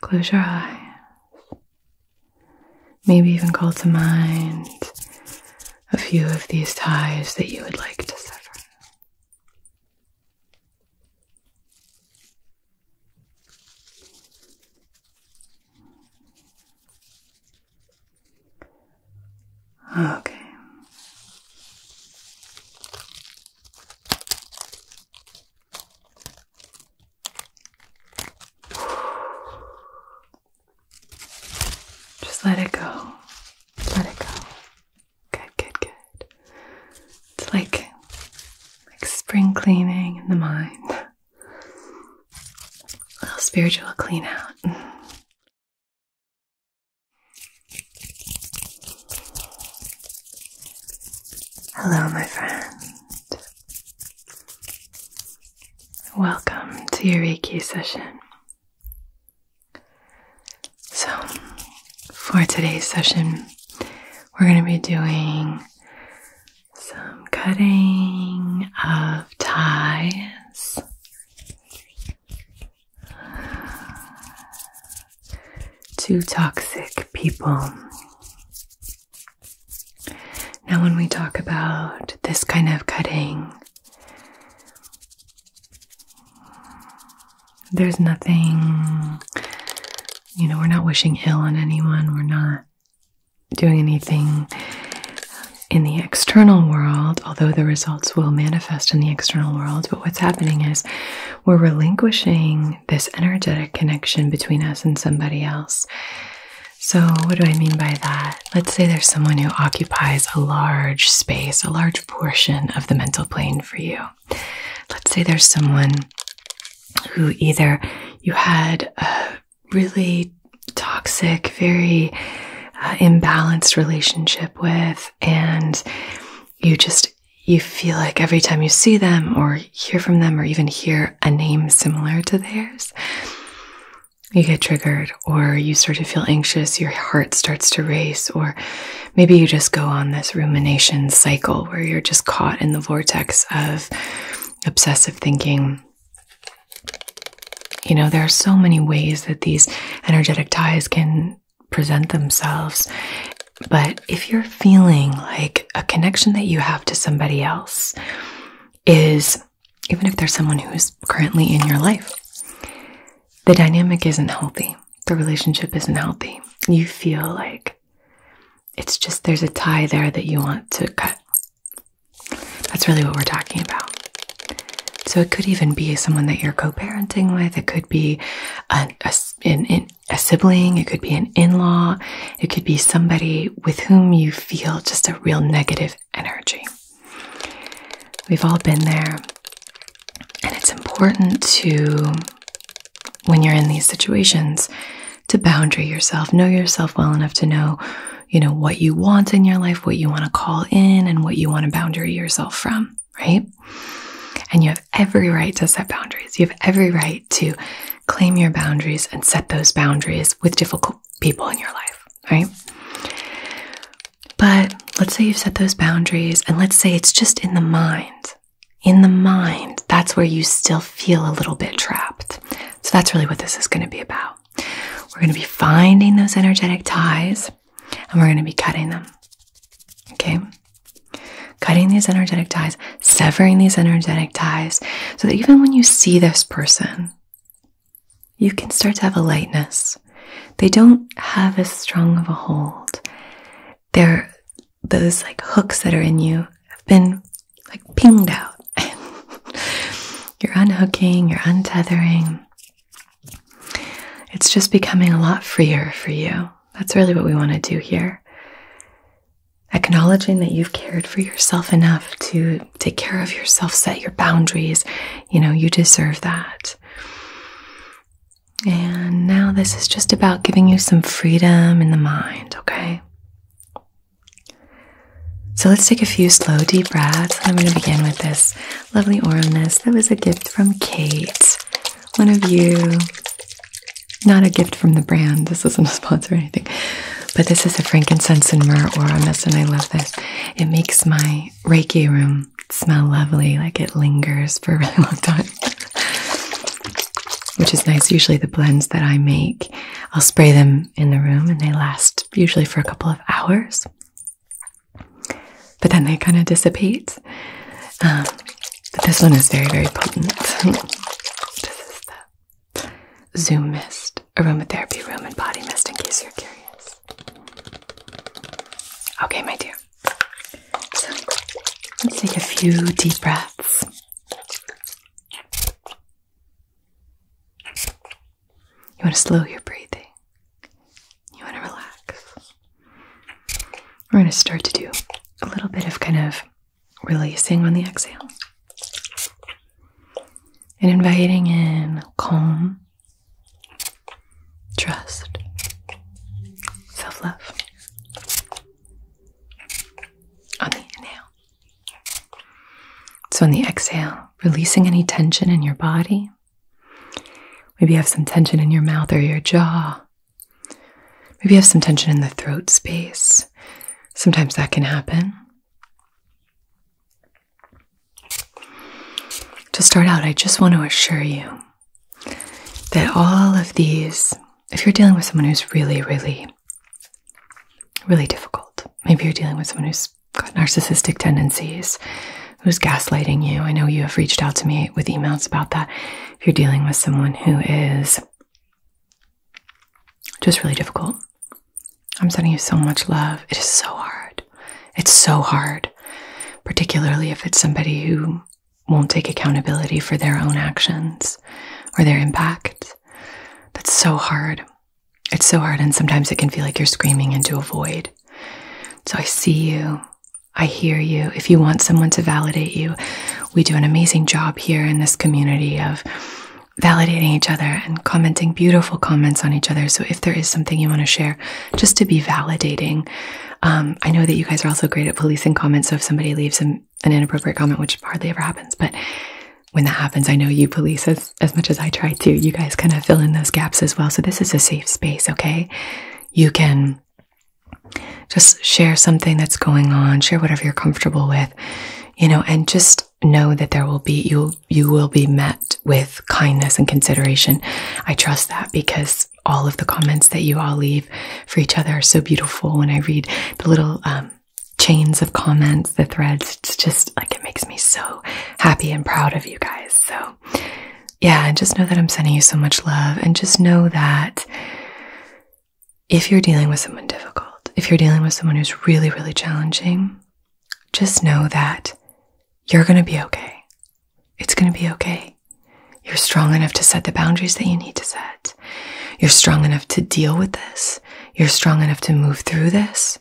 Close your eyes. Maybe even call to mind a few of these ties that you would like to sever. Okay. Just let it go. Let it go. Good, good, good. It's like like spring cleaning in the mind. A little spiritual clean out. Hello, my friend. Welcome to your Reiki session. So, for today's session, we're going to be doing some cutting of ties. Two toxic people. Now, when we talk about this kind of cutting, there's nothing, you know, we're not wishing ill on anyone, we're not doing anything in the external world, although the results will manifest in the external world. But what's happening is we're relinquishing this energetic connection between us and somebody else. So, what do I mean by that? Let's say there's someone who occupies a large space, a large portion of the mental plane for you. Let's say there's someone who either you had a really toxic, very uh, imbalanced relationship with, and you just you feel like every time you see them or hear from them or even hear a name similar to theirs, you get triggered or you start to feel anxious, your heart starts to race, or maybe you just go on this rumination cycle where you're just caught in the vortex of obsessive thinking. You know, there are so many ways that these energetic ties can present themselves. But if you're feeling like a connection that you have to somebody else is, even if there's someone who is currently in your life, the dynamic isn't healthy, the relationship isn't healthy, you feel like it's just there's a tie there that you want to cut. That's really what we're talking about. So it could even be someone that you're co-parenting with. It could be an, a, a sibling, it could be an in law, it could be somebody with whom you feel just a real negative energy. We've all been there. And it's important to, when you're in these situations, to boundary yourself, know yourself well enough to know, you know, what you want in your life, what you want to call in, and what you want to boundary yourself from, right? And you have every right to set boundaries. You have every right to claim your boundaries and set those boundaries with difficult people in your life, right? But let's say you've set those boundaries, and let's say it's just in the mind. In the mind, that's where you still feel a little bit trapped. So that's really what this is going to be about. We're going to be finding those energetic ties and we're going to be cutting them. Okay? Cutting these energetic ties, severing these energetic ties, so that even when you see this person, you can start to have a lightness. They don't have as strong of a hold. There, those like hooks that are in you have been like pinged out. you're unhooking, you're untethering. It's just becoming a lot freer for you. That's really what we want to do here acknowledging that you've cared for yourself enough to take care of yourself, set your boundaries. You know, you deserve that. And now this is just about giving you some freedom in the mind, okay? So let's take a few slow, deep breaths. I'm going to begin with this lovely aura that was a gift from Kate one of you, not a gift from the brand, this isn't a sponsor or anything, but this is a frankincense and myrrh aura and I love this. It makes my Reiki room smell lovely, like it lingers for a really long time. Which is nice. Usually, the blends that I make, I'll spray them in the room and they last usually for a couple of hours, but then they kind of dissipate but this one is very, very potent. this is the Zoom Mist Aromatherapy Room and Body Mist, in case you're curious. Okay, my dear. let's take a few deep breaths. You want to slow your breathing. You want to relax. We're going to start to do a little bit of kind of releasing on the exhale and inviting in calm, trust, self love on the inhale. So, on the exhale, releasing any tension in your body. Maybe you have some tension in your mouth or your jaw Maybe you have some tension in the throat space. Sometimes that can happen. To start out, I just want to assure you that all of these, if you're dealing with someone who's really, really, really difficult, maybe you're dealing with someone who's got narcissistic tendencies, who's gaslighting you. I know you have reached out to me with emails about that. If you're dealing with someone who is just really difficult. I'm sending you so much love. It is so hard. It's so hard, particularly if it's somebody who won't take accountability for their own actions or their impact. That's so hard. It's so hard, and sometimes it can feel like you're screaming into a void. So I see you. I hear you. If you want someone to validate you, we do an amazing job here in this community of validating each other and commenting beautiful comments on each other. So if there is something you want to share, just to be validating. Um, I know that you guys are also great at policing comments. So if somebody leaves an, an inappropriate comment, which hardly ever happens, but when that happens, I know you police as, as much as I try to. You guys kind of fill in those gaps as well. So this is a safe space, okay? You can just share something that's going on, share whatever you're comfortable with, you know, and just know that there will be you you will be met with kindness and consideration. I trust that because all of the comments that you all leave for each other are so beautiful when I read the little um, chains of comments, the threads, it's just like it makes me so happy and proud of you guys. So, yeah, and just know that I'm sending you so much love, and just know that if you're dealing with someone difficult, if you're dealing with someone who's really, really challenging, just know that you're going to be okay. It's going to be okay. You're strong enough to set the boundaries that you need to set. You're strong enough to deal with this. You're strong enough to move through this.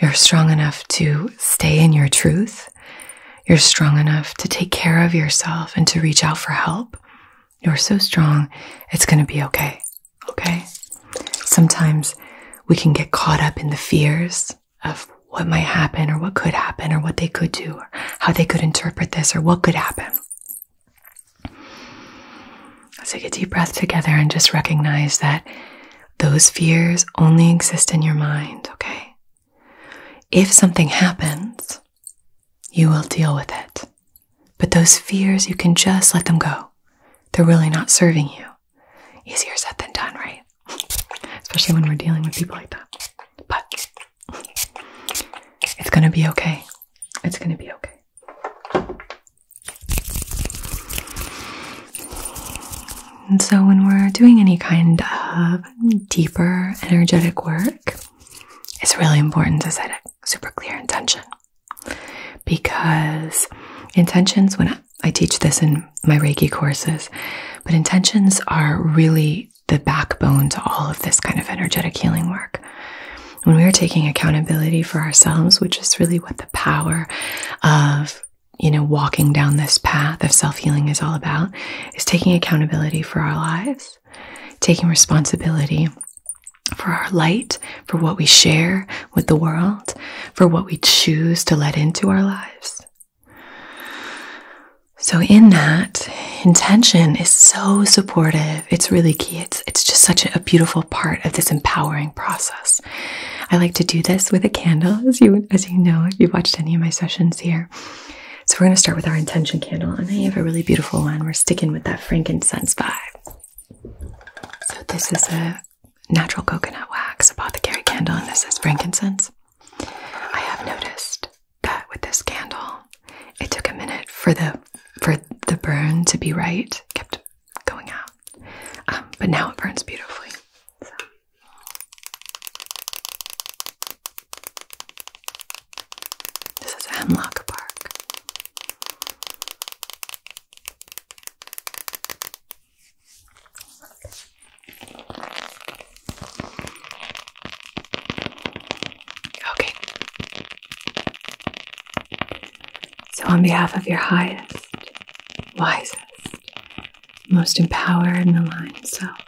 You're strong enough to stay in your truth. You're strong enough to take care of yourself and to reach out for help. You're so strong, it's going to be okay. Okay? Sometimes we can get caught up in the fears of what might happen or what could happen or what they could do or how they could interpret this or what could happen. Let's take a deep breath together and just recognize that those fears only exist in your mind, okay? If something happens, you will deal with it. But those fears, you can just let them go. They're really not serving you. Easier said than done, right? Especially when we're dealing with people like that. But it's going to be okay. It's going to be okay. And so, when we're doing any kind of deeper energetic work, it's really important to set a super clear intention because intentions, when I, teach this in my Reiki courses, but intentions are really the backbone to all of this kind of energetic healing work. When we are taking accountability for ourselves, which is really what the power of you know walking down this path of self-healing is all about is taking accountability for our lives taking responsibility for our light, for what we share with the world, for what we choose to let into our lives. So in that, intention is so supportive. It's really key. It's it's just such a, a beautiful part of this empowering process. I like to do this with a candle, as you as you know, if you've watched any of my sessions here. So we're going to start with our intention candle, and I have a really beautiful one. We're sticking with that frankincense vibe. So this is a natural coconut wax apothecary candle, and this is frankincense. I have noticed that with this candle, it took a minute for the for the burn to be right. It kept going out, um, but now it burns beautifully. This is Hemlock Park. Okay. So, on behalf of your highest, wisest, most empowered and aligned self,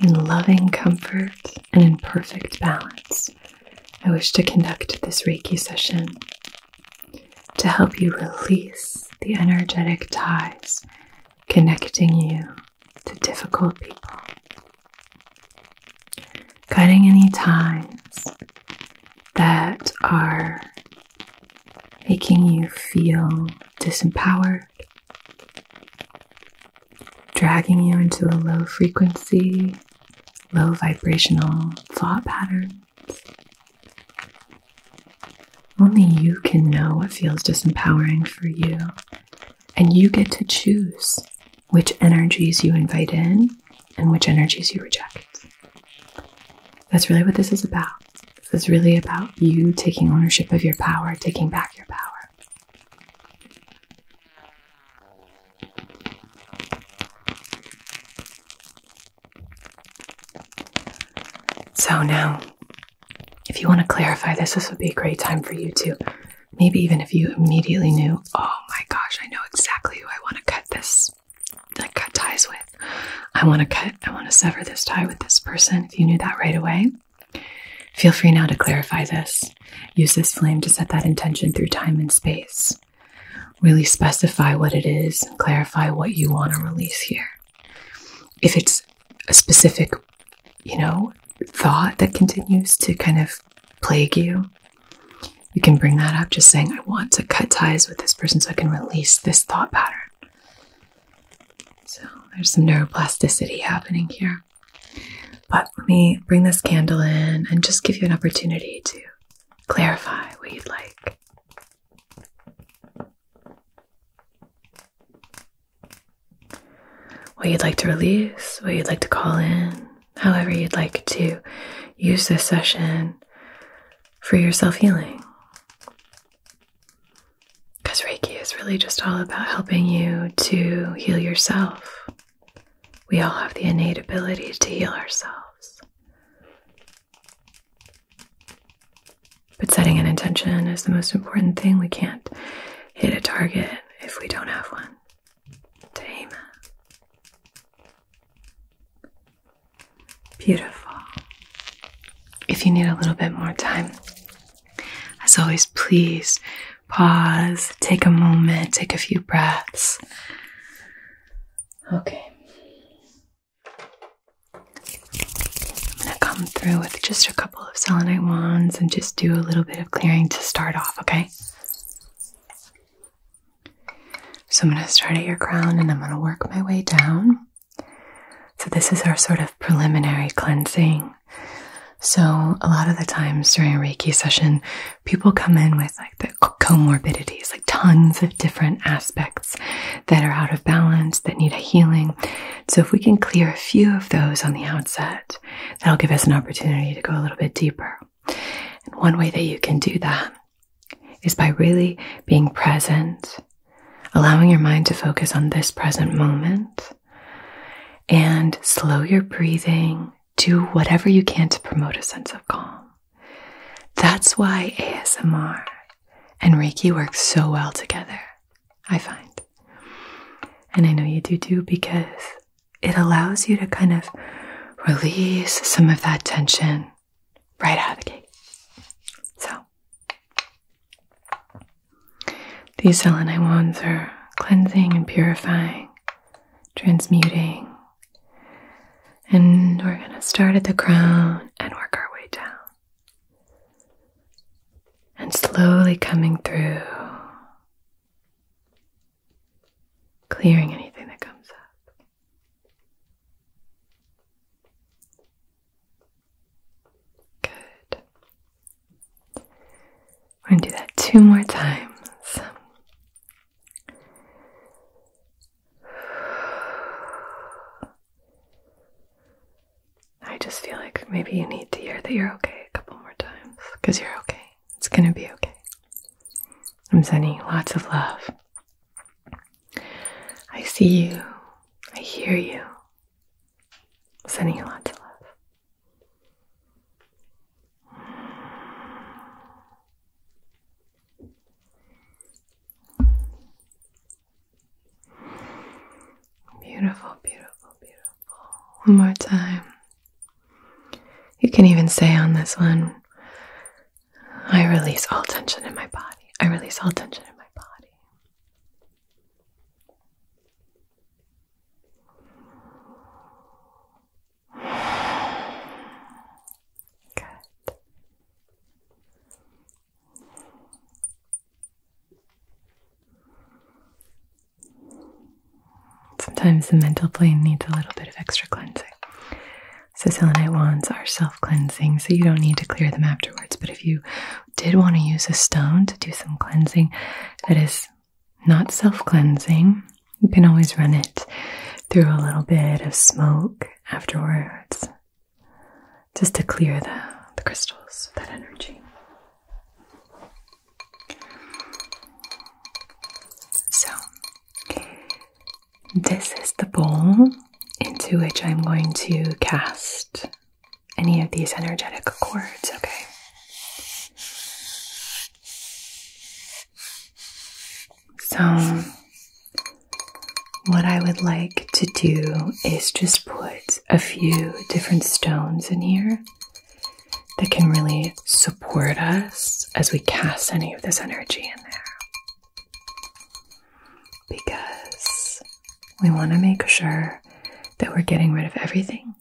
in loving comfort and in perfect balance I wish to conduct this Reiki session to help you release the energetic ties connecting you to difficult people, cutting any ties that are making you feel disempowered dragging you into a low frequency, low vibrational thought patterns. Only you can know what feels disempowering for you, and you get to choose which energies you invite in and which energies you reject. That's really what this is about. This is really about you taking ownership of your power, taking back your power. So now, if you want to clarify this, this would be a great time for you to maybe even if you immediately knew, oh my gosh, I know exactly who I want to cut this, like cut ties with. I want to cut, I want to sever this tie with this person. If you knew that right away, feel free now to clarify this. Use this flame to set that intention through time and space. Really specify what it is and clarify what you want to release here. If it's a specific, you know, thought that continues to kind of plague you, you can bring that up just saying, I want to cut ties with this person so I can release this thought pattern. So there's some neuroplasticity happening here. But let me bring this candle in and just give you an opportunity to clarify what you'd like. What you'd like to release, what you'd like to call in, however you'd like to use this session for your self healing. Because Reiki is really just all about helping you to heal yourself we all have the innate ability to heal ourselves. But setting an intention is the most important thing. We can't hit a target if we don't have one to Beautiful. If you need a little bit more time, as always, please pause, take a moment, take a few breaths. Okay. I'm going to come through with just a couple of selenite wands and just do a little bit of clearing to start off, okay? So I'm going to start at your crown and I'm going to work my way down. So, this is our sort of preliminary cleansing. So, a lot of the times during a Reiki session, people come in with like the comorbidities, like tons of different aspects that are out of balance, that need a healing. So, if we can clear a few of those on the outset, that'll give us an opportunity to go a little bit deeper. And one way that you can do that is by really being present, allowing your mind to focus on this present moment, and slow your breathing do whatever you can to promote a sense of calm. That's why ASMR and Reiki work so well together, I find. And I know you do too because it allows you to kind of release some of that tension right out of the gate. So, these selenite wands are cleansing and purifying transmuting. And we're going to start at the crown and work our way down. And slowly coming through, clearing anything that comes up. Good. We're going to do that two more times. I just feel like maybe you need to hear that you're okay a couple more times because you're okay. It's going to be okay. I'm sending you lots of love. I see you. I hear you. sending you lots of love. Beautiful, beautiful, beautiful. One more time. You can even say on this one, I release all tension in my body. I release all tension in my body. Sometimes the mental plane needs a little bit of extra cleansing. So, selenite wands are self cleansing, so you don't need to clear them afterwards. But if you did want to use a stone to do some cleansing, that is not self cleansing. You can always run it through a little bit of smoke afterwards just to clear the, crystals of that energy. So, this is the bowl into which I'm going to cast any of these energetic cords, okay? So, what I would like to do is just put a few different stones in here that can really support us as we cast any of this energy in there. Because we want to make sure that we're getting rid of everything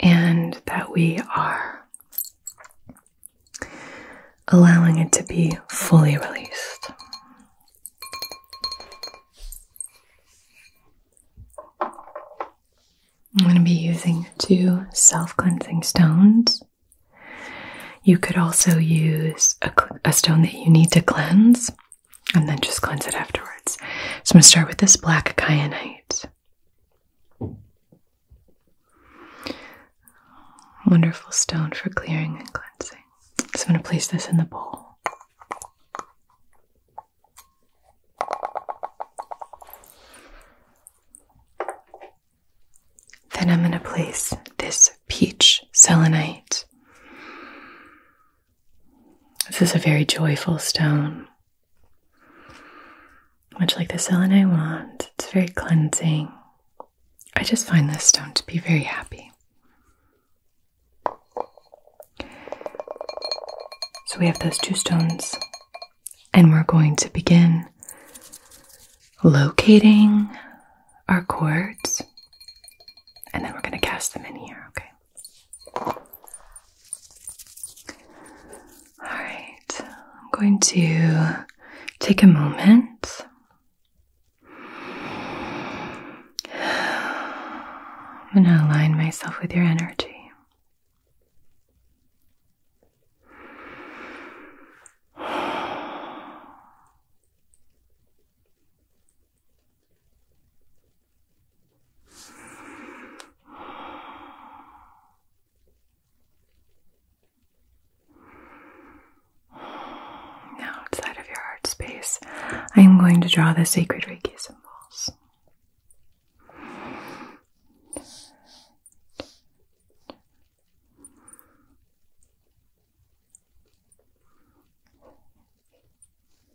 and that we are allowing it to be fully released. I'm going to be using two self cleansing stones. You could also use a, stone that you need to cleanse and then just cleanse it afterwards. So I'm going to start with this black kyanite. Wonderful stone for clearing and cleansing. So I'm going to place this in the bowl. Then I'm going to place this peach selenite this is a very joyful stone, much like the selenite wand. It's very cleansing. I just find this stone to be very happy. So we have those two stones, and we're going to begin locating our chords, and then we're going to cast them in here, okay? All right, I'm going to take a moment. I'm going to align myself with your energy. Now, outside of your heart space, I am going to draw the sacred Reiki symbols.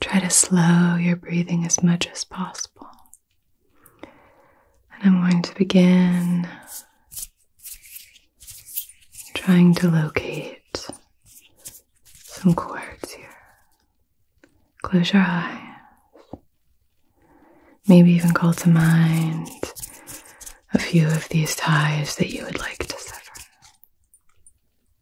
Try to slow your breathing as much as possible. And I'm going to begin trying to locate some cords here. Close your eyes. Maybe even call to mind a few of these ties that you would like to sever.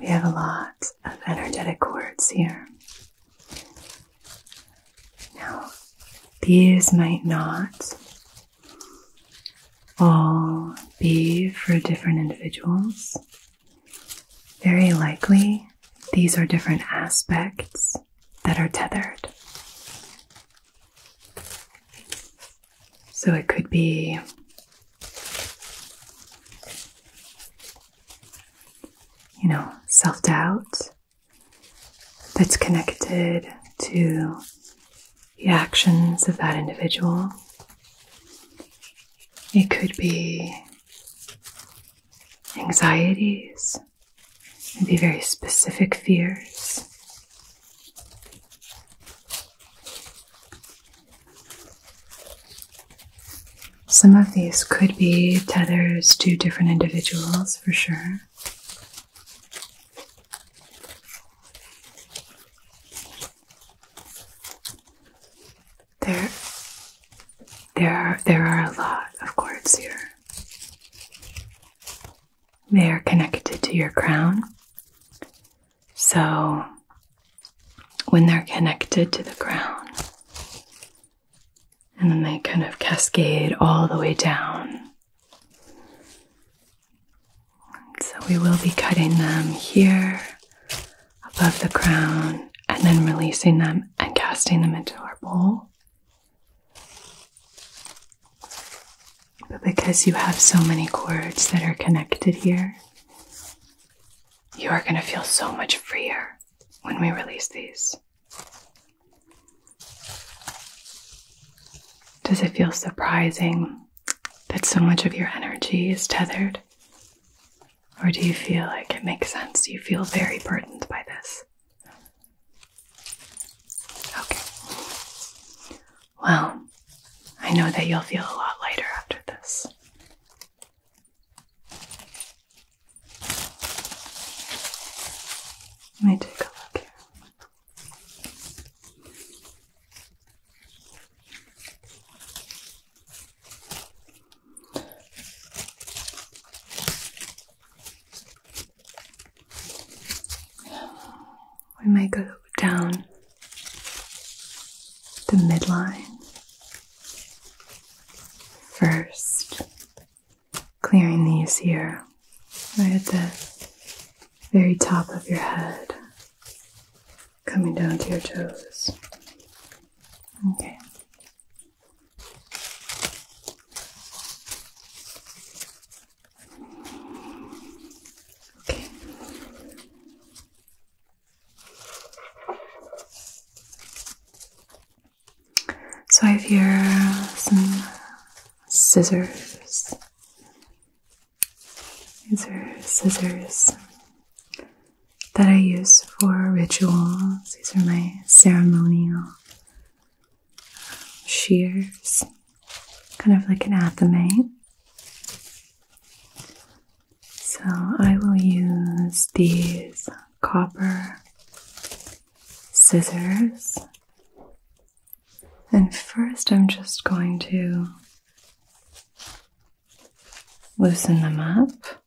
we have a lot of energetic cords here. Now, these might not all be for different individuals. Very likely, these are different aspects that are tethered. So it could be you know, self doubt that's connected to the actions of that individual. It could be anxieties, maybe very specific fears. Some of these could be tethers to different individuals for sure. There, there are there are a lot of cords here. They are connected to your crown so, when they're connected to the crown, and then they kind of cascade all the way down. So, we will be cutting them here above the crown and then releasing them and casting them into our bowl. But because you have so many cords that are connected here, you are going to feel so much freer when we release these. Does it feel surprising that so much of your energy is tethered? Or do you feel like it makes sense? You feel very burdened by this. Okay. Well, I know that you'll feel a lot lighter after this. Let me take a look here. We might go down the midline. First, clearing these here, right at the very top of your head, coming down to your toes. Okay. Okay. So I have here some scissors. These are scissors that I use for rituals. These are my ceremonial shears, kind of like an athame. So I will use these copper scissors. And first, I'm just going to loosen them up.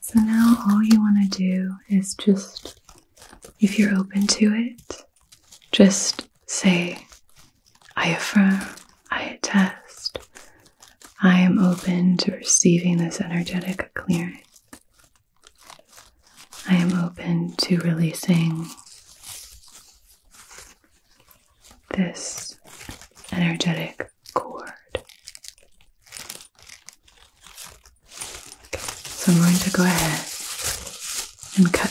So now all you want to do is just, if you're open to it, just say, I affirm, I attest, I am open to receiving this energetic clearance. I am open to releasing this energetic cord. so I'm going to go ahead and cut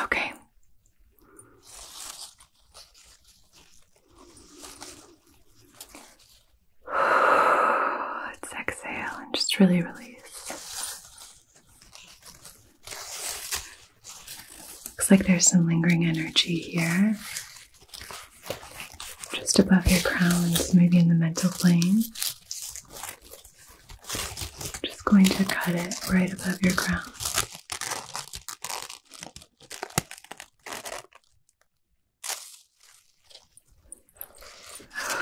Okay. Let's exhale and just really release. Looks like there's some lingering energy here. Just above your crown, so maybe in the mental plane. Just going to cut it right above your crown.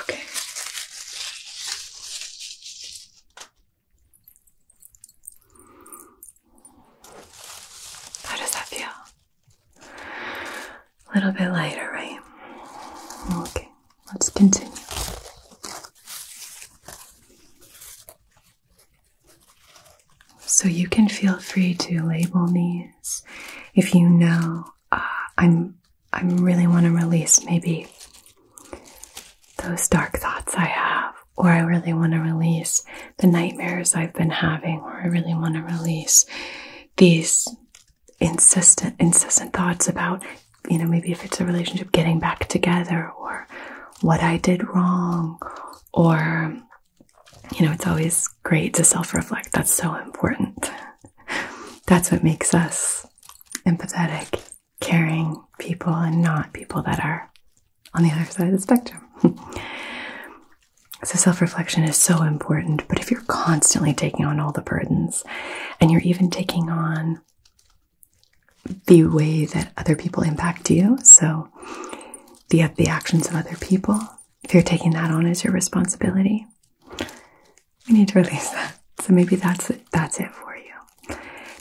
Okay. How does that feel? A little bit lighter, right? Okay, let's continue. So you can feel free to label these if you know uh, I'm I really want to release maybe those dark thoughts I have or I really want to release the nightmares I've been having, or I really want to release these insistent, incessant thoughts about, you know, maybe if it's a relationship getting back together, or what I did wrong, or, you know, it's always great to self reflect. That's so important. That's what makes us empathetic caring people and not people that are on the other side of the spectrum. so, self reflection is so important, but if you're constantly taking on all the burdens and you're even taking on the way that other people impact you, so the, the actions of other people, if you're taking that on as your responsibility, you need to release that. So maybe that's that's it for you.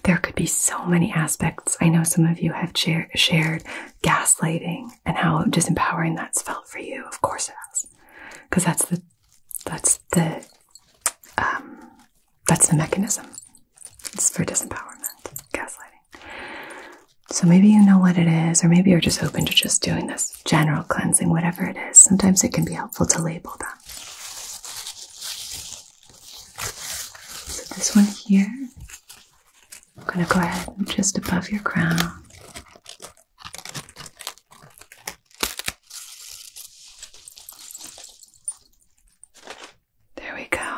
There could be so many aspects. I know some of you have shared gaslighting and how disempowering that's felt for you. Of course it has, because that's the that's the um, that's the mechanism. It's for disempowerment, gaslighting. So maybe you know what it is, or maybe you're just open to just doing this general cleansing, whatever it is. Sometimes it can be helpful to label that. So This one here, I'm going to go ahead and just above your crown. There we go.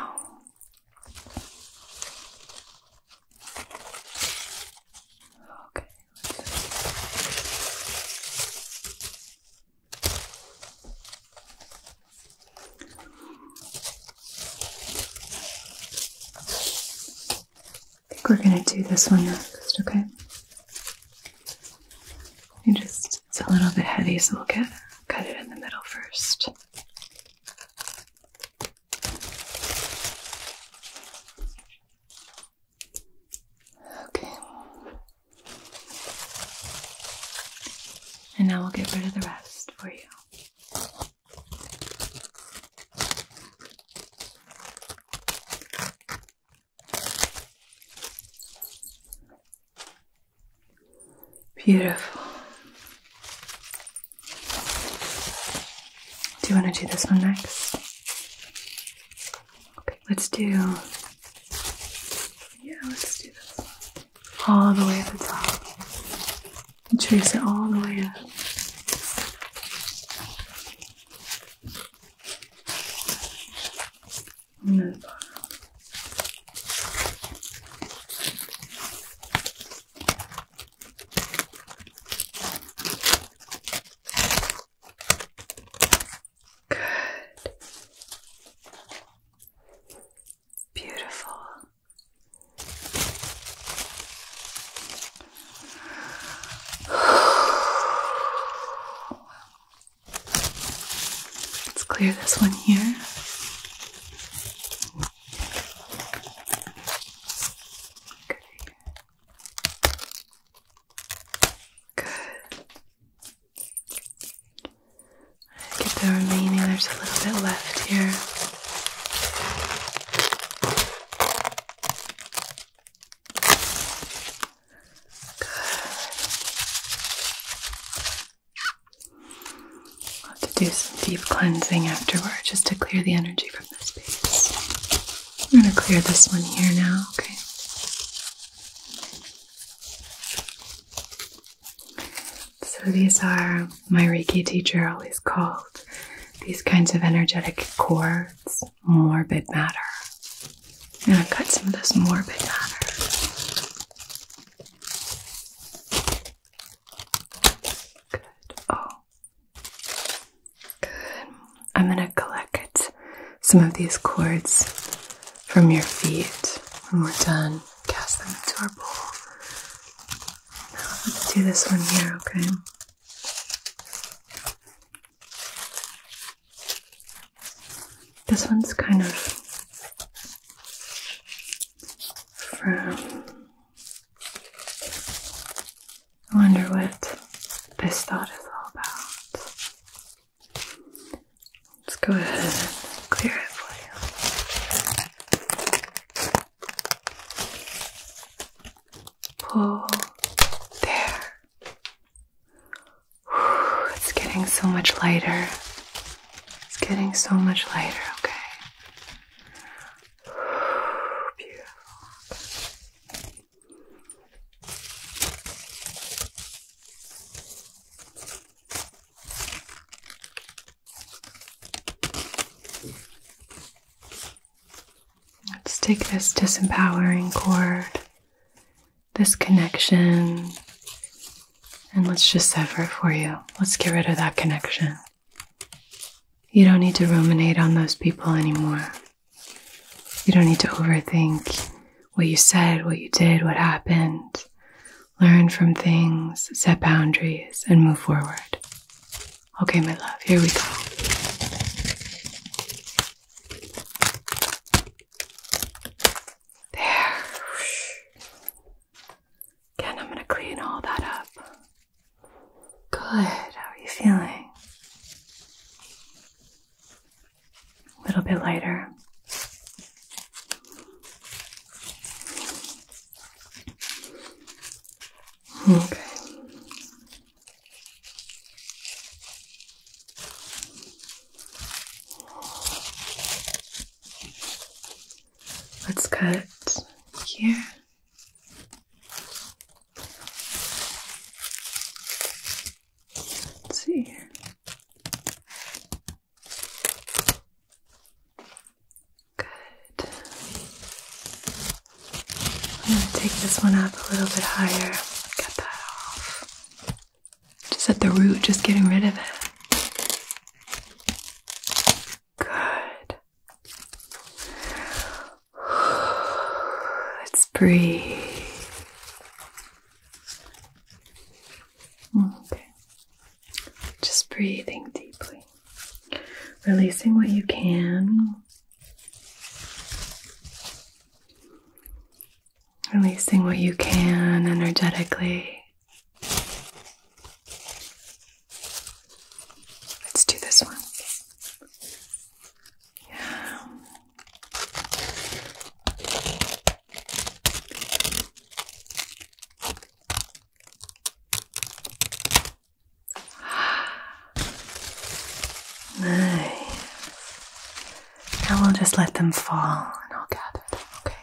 Okay. I think we're going to do this one next, okay? You just, it's a little bit heavy, so we'll get, cut it in the middle first. Okay. And now we'll get rid of the rest for you. Beautiful. Do you want to do this one next? Okay, let's do. Yeah, let's do this one all the way at the top. And trace it all the way up. Good. Beautiful. Let's clear this one here. Good. Get the remaining, there's a little bit left here. I'll have to do some deep cleansing afterward just to clear the energy from this piece. I'm going to clear this one here now, okay? So, these are my Reiki teacher always called these kinds of energetic cords morbid matter. I'm going to cut some of this morbid matter. Good. Oh. Good. I'm going to collect some of these cords from your feet when we're done cast them into our bowl. Now let's do this one here, okay? This one's kind of from. I wonder what this thought is all about. Let's go ahead and clear it for you. Pull. There. it's getting so much lighter. It's getting so much lighter, okay? beautiful. Let's take this disempowering cord, this connection, and let's just sever it for you. Let's get rid of that connection. You don't need to ruminate on those people anymore. You don't need to overthink what you said, what you did, what happened, learn from things, set boundaries, and move forward. Okay, my love, here we go. There. Again, I'm going to clean all that up. Good. How are you feeling? A little bit lighter. Okay. Let's cut here. Let's see here. Good. I'm going to take this one up a little bit higher. Cut that off. Just at the root, just getting rid of it. Good. Let's breathe. Okay. Just breathing deeply, releasing what you can, releasing what you can energetically. Let's do this one. Yeah. Nice. Now we'll just let them fall and I'll gather them, okay?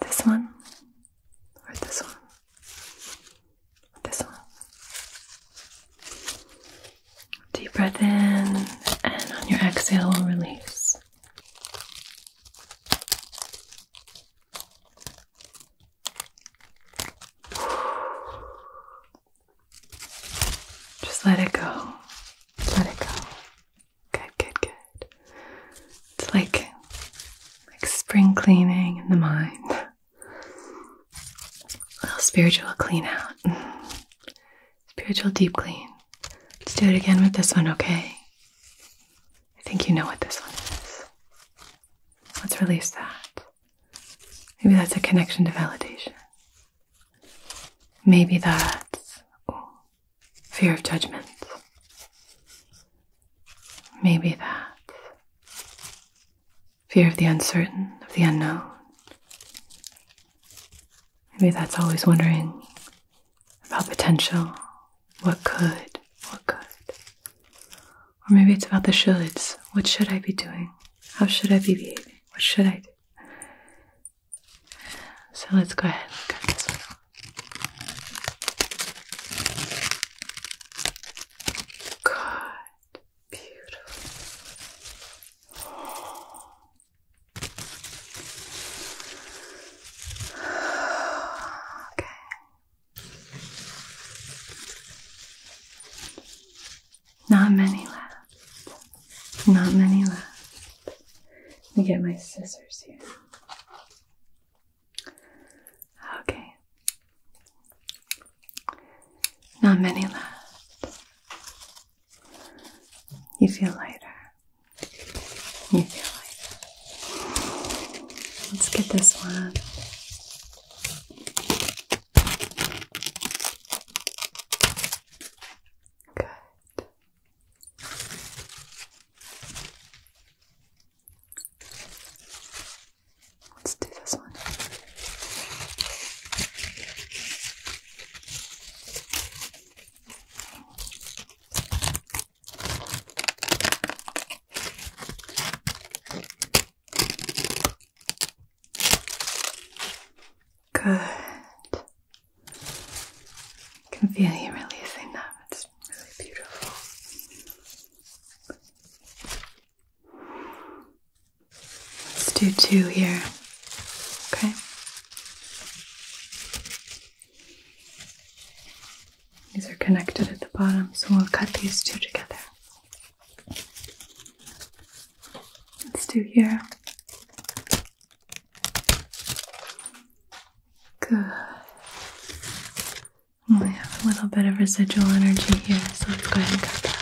This one, or this one, this one. Deep breath in, and on your exhale, we'll release. Just let it go. Let it go. Good, good, good. It's like like spring cleaning in the mind. A little spiritual clean out. Spiritual deep clean. Let's do it again with this one, okay? I think you know what this one is. Let's release that. Maybe that's a connection to validation. Maybe that's fear of judgment. Maybe that's fear of the uncertain, of the unknown. Maybe that's always wondering about potential, what could, what could. Or maybe it's about the shoulds. What should I be doing? How should I be behaving? What should I do? So let's go ahead and Beautiful. Okay. Not many left. Not many left. Let me get my scissors here. Okay. Not many left. You feel lighter. Let's get this one. Good. Let's do this one. Good. I can feel you releasing that. It's really beautiful. Let's do two here. Okay. These are connected at the bottom, so we'll cut these two together. Let's do here. Good. We have a little bit of residual energy here, so let's go ahead and cut that.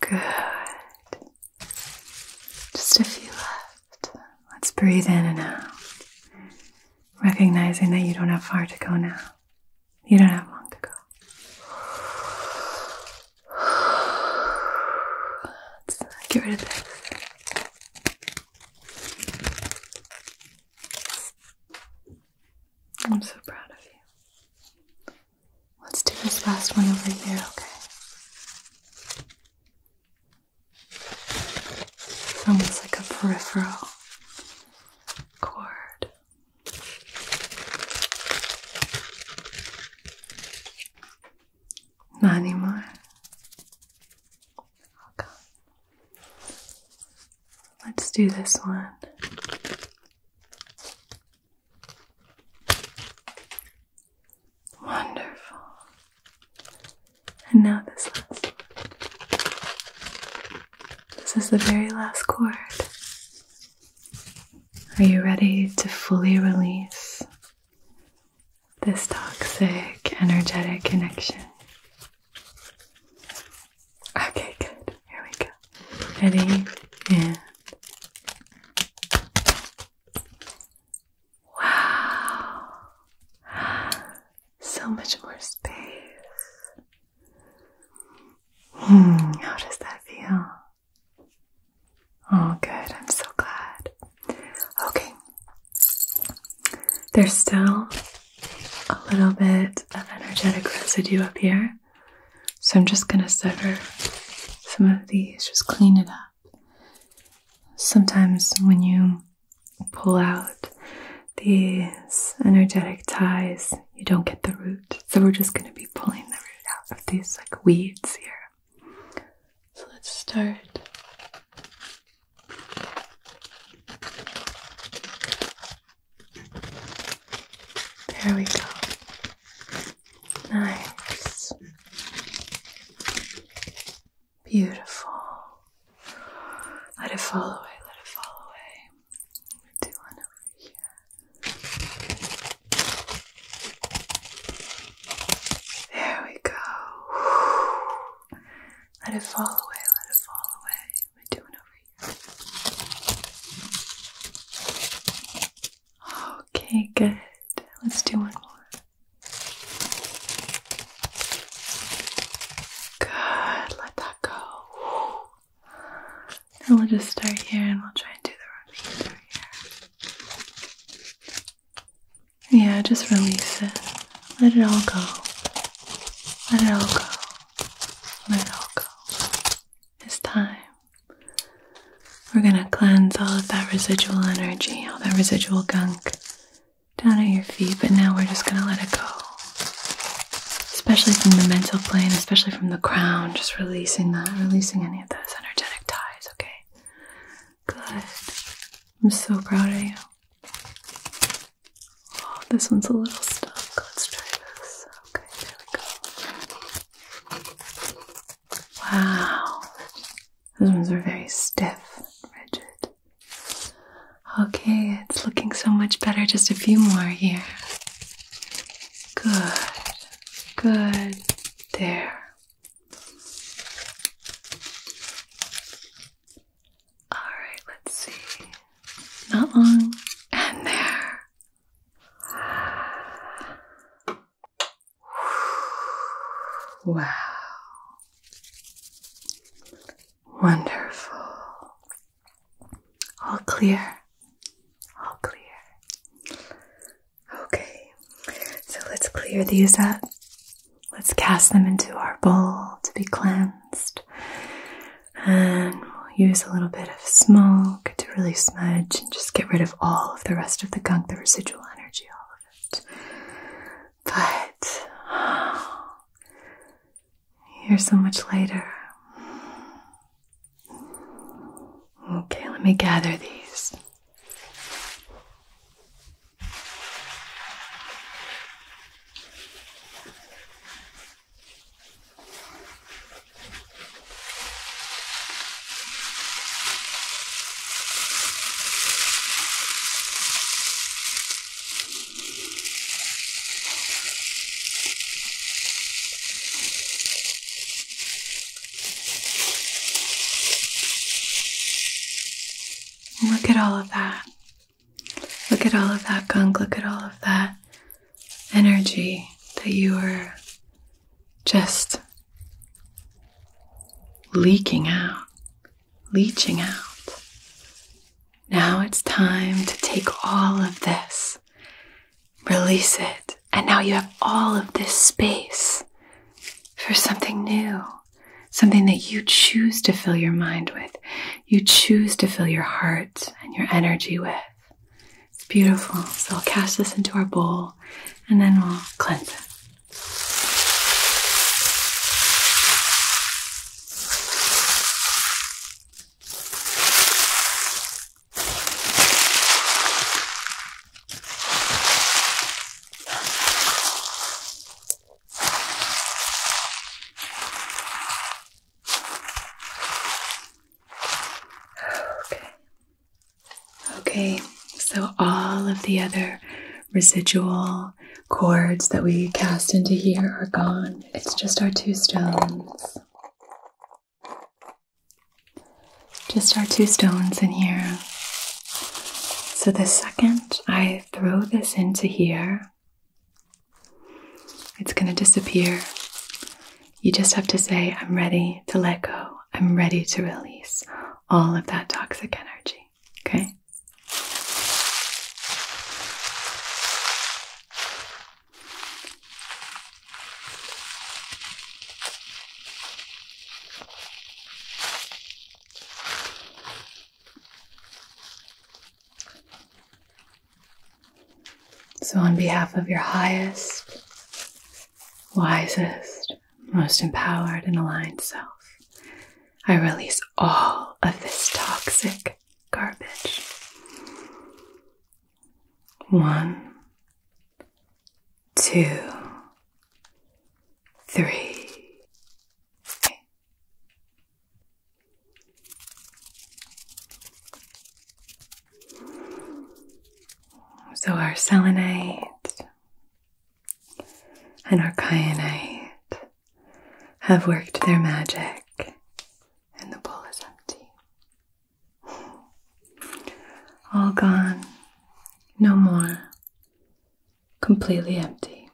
Good. Just a few left. Let's breathe in and out. Recognizing that you don't have far to go now. You don't have long to go. Let's uh, get rid of this. I'm so proud of you. Let's do this last one over here, okay? It's almost like a peripheral cord. Not Okay. Let's do this one. Wonderful. And now this last This is the very last chord. Are you ready to fully release this toxic energetic connection? Okay, good. Here we go. Ready and wow, so much more space. Hmm, how does that feel? Oh, good. I'm so glad. Okay, there's still a little bit of energetic residue up here. So I'm just going to sever some of these, just clean it up. Sometimes when you pull out these energetic ties, you don't get the root. So we're just going to be pulling the root out of these like weeds here. So let's start. There we go. Nice. Beautiful. Let it fall away, let it fall away. Let do one over here. There we go. Let it fall away, let it fall away. Let do one over Okay, good. Let's do one more. Good, let that go. Now we'll just start here and we'll try and do the rest here. Yeah, just release it. Let it all go. Let it all go. Let it all go. It's time we're going to cleanse all of that residual energy, all that residual gunk down at your feet, but now we're just going to let it go. Especially from the mental plane, especially from the crown, just releasing that, releasing any of those energetic ties, okay? Good. I'm so proud of you. Oh, this one's a little stuck. Let's try this. Okay, there we go. Wow. Those ones are very stiff and rigid. Okay, it's looking so much better. Just a few more here. Good. Good. There. All right, let's see. Not long. And there. Wow. Wonderful. All clear. All clear. Okay. So let's clear these up. Let's cast them into our bowl to be cleansed and we'll use a little bit of smoke to really smudge and just get rid of all of the rest of the gunk, the residual energy, all of it. But you're so much lighter. Okay, let me gather these. Look at all of that. Look at all of that gunk. Look at all of that energy that you are just leaking out, leaching out. Now it's time to take all of this, release it, and now you have all of this space for something new, something that you choose to fill your mind with, you choose to fill your heart and your energy with. It's beautiful. So I'll cast this into our bowl and then we'll cleanse it. Okay. Okay, so all of the other residual cords that we cast into here are gone. It's just our two stones. Just our two stones in here. So the second I throw this into here, it's going to disappear you just have to say, I'm ready to let go. I'm ready to release all of that toxic energy. Okay? So, on behalf of your highest, wisest, most empowered, and aligned self, I release all of this toxic garbage. One, two, three. So our selenite and our kyanite have worked their magic and the bowl is empty. All gone, no more, completely empty,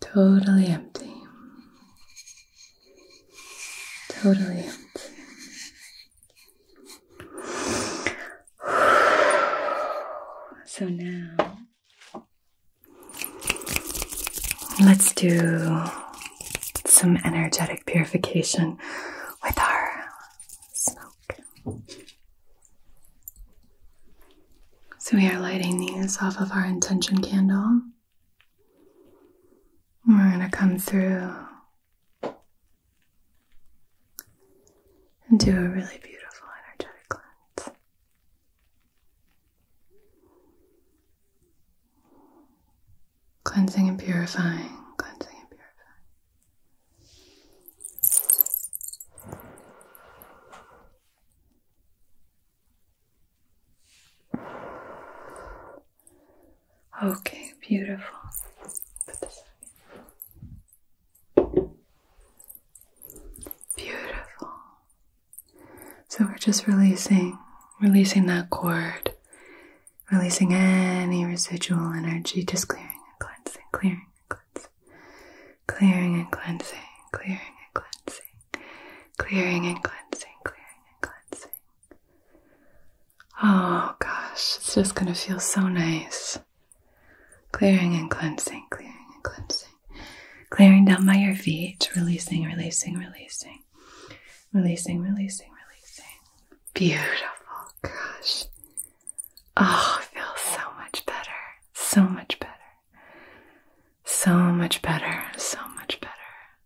totally empty. Totally empty. So now let's do some energetic purification with our smoke. So we are lighting these off of our intention candle. We're going to come through and do a really beautiful energetic cleanse. Cleansing and purifying, cleansing and purifying. Okay, beautiful. beautiful. So we're just releasing, releasing that cord, releasing any residual energy, just clearing cleansing, clearing and cleansing, clearing and cleansing, clearing and cleansing, clearing and cleansing, clearing and cleansing, Oh gosh, it's just going to feel so nice. Clearing and cleansing, clearing and cleansing. Clearing down by your feet, releasing, releasing, releasing. Releasing, releasing, releasing. Beautiful, gosh. Oh, feels so much better. So much better. So much better. So much better.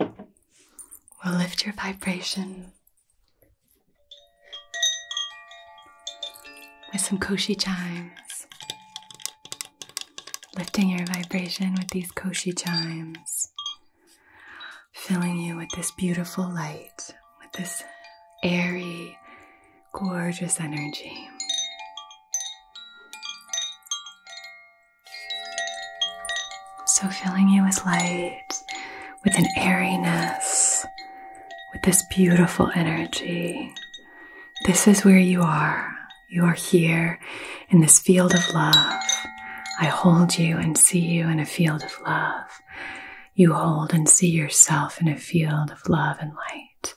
we will lift your vibration with some koshi chimes. Lifting your vibration with these koshi chimes, filling you with this beautiful light, with this airy, gorgeous energy. So, filling you with light, with an airiness, with this beautiful energy. This is where you are. You are here in this field of love. I hold you and see you in a field of love. You hold and see yourself in a field of love and light.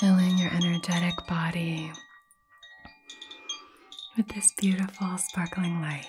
Filling your energetic body with this beautiful sparkling light.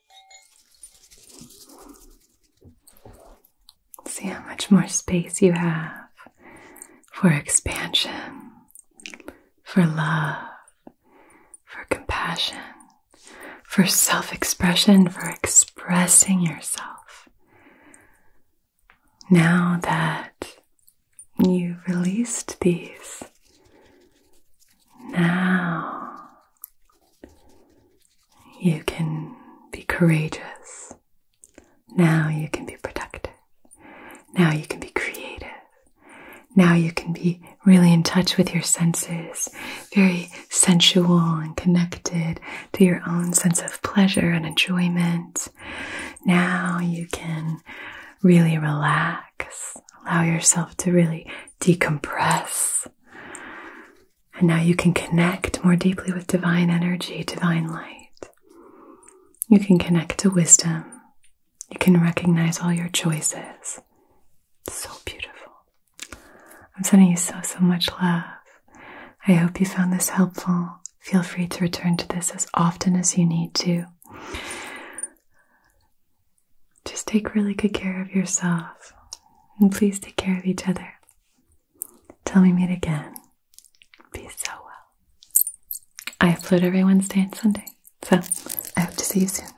See how much more space you have for expansion, for love, for compassion, for self expression, for expressing yourself. Now that you released these, now you can be courageous. Now you can be productive. Now you can be creative. Now you can be really in touch with your senses, very sensual and connected to your own sense of pleasure and enjoyment. Now you can really relax, allow yourself to really decompress. And now you can connect more deeply with divine energy, divine light. You can connect to wisdom. You can recognize all your choices. so beautiful. I'm sending you so, so much love. I hope you found this helpful. Feel free to return to this as often as you need to. Just take really good care of yourself and please take care of each other. Till we meet again, be so well. I upload every Wednesday and Sunday, so I hope to see you soon.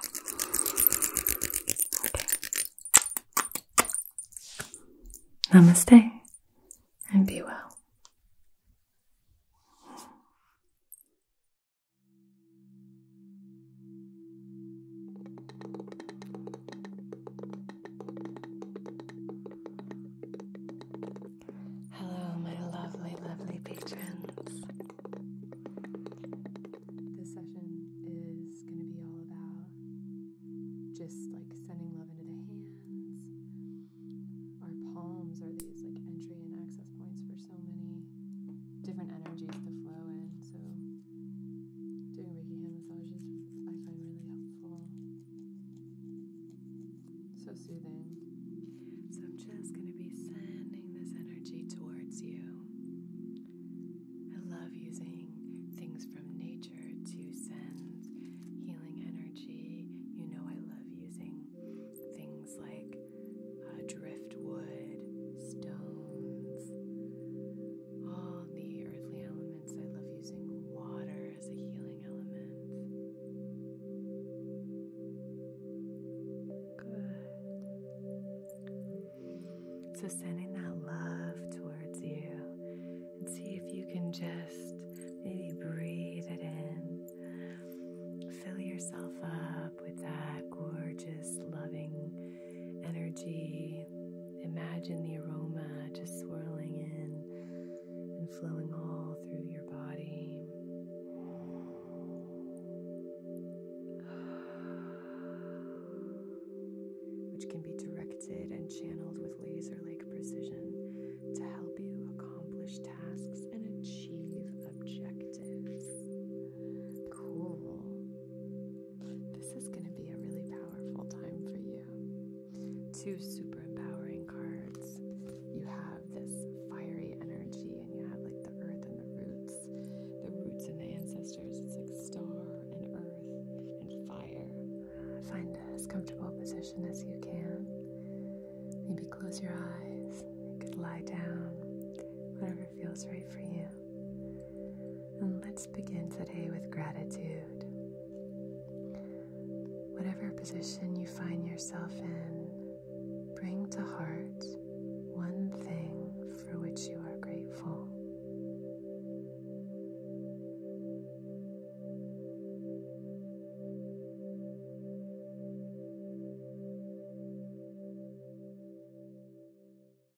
Namaste and be well. Hello, my lovely, lovely patrons. This session is going to be all about just like sending love into the hands. Our palms are these like entry and access points for so many different energies to flow in. So, Doing Reiki hand massages I find really helpful. So soothing. So I'm just going to be sending this energy towards you. I love using things from nature to send healing energy. You know, I love using things like uh, driftwood, stones all the earthly elements. I love using water as a healing element. Good. So, sending that love towards you and see if you can just maybe breathe it in. Fill yourself up with that gorgeous, loving energy Imagine the aroma just swirling in and flowing all through your body. Which can be directed and channeled with laser like precision to help you accomplish tasks and achieve objectives. Cool. This is going to be a really powerful time for you. Two super empowering cards. You have this fiery energy, and you have like the earth and the roots, the roots and the ancestors. It's like star and earth and fire. Find as comfortable position as you can. Maybe close your eyes. You could lie down. Whatever feels right for you. And let's begin today with gratitude. Whatever position you find yourself in, bring to heart one thing for which you are grateful.